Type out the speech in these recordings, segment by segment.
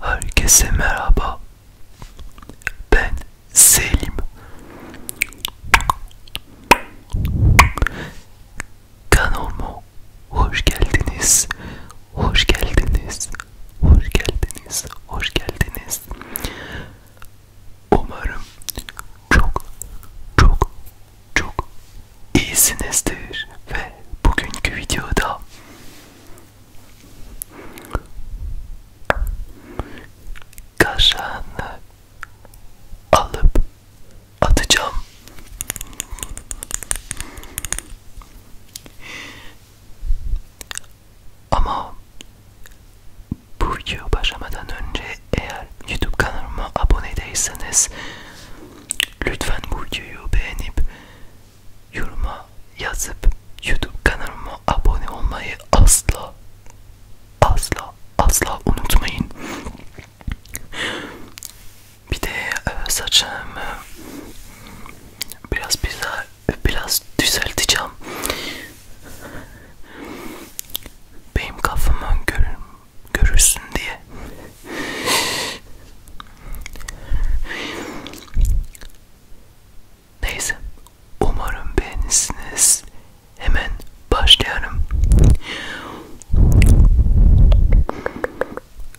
Herkese merhaba. Ben Selim. Kanalıma hoş geldiniz. Hoş geldiniz. Hoş geldiniz, hoş geldiniz. Umarım çok çok çok iyisinizdir ve bugünkü videoda kaşanı alıp atacağım. Ama bu video başlamadan önce eğer YouTube kanalıma abone değilseniz lütfen bu videoyu beğenip yoruma yazıp YouTube kanalıma abone olmayı asla asla asla unutmayın. Bir de e, saçım biraz bize biraz düzelteceğim. Benim kafamı görür, görürsün diye. Neyse, umarım beğenirsiniz. Hemen başlayalım.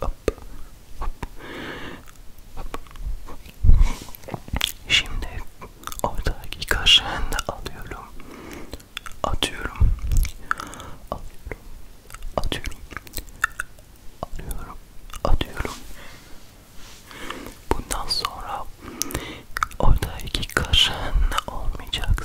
Hop. Hop. Hop. Şimdi oradaki kaşığını da alıyorum. Atıyorum. Alıyorum. Atıyorum. Alıyorum. Atıyorum. Bundan sonra oradaki kaşığın olmayacaksın.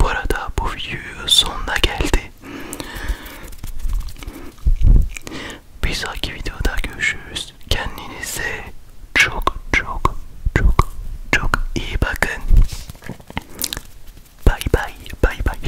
Bu arada bu videoyu sonuna geldi. Bir sonraki videoda görüşürüz. Kendinize çok çok çok çok iyi bakın. Bay bay bay bay.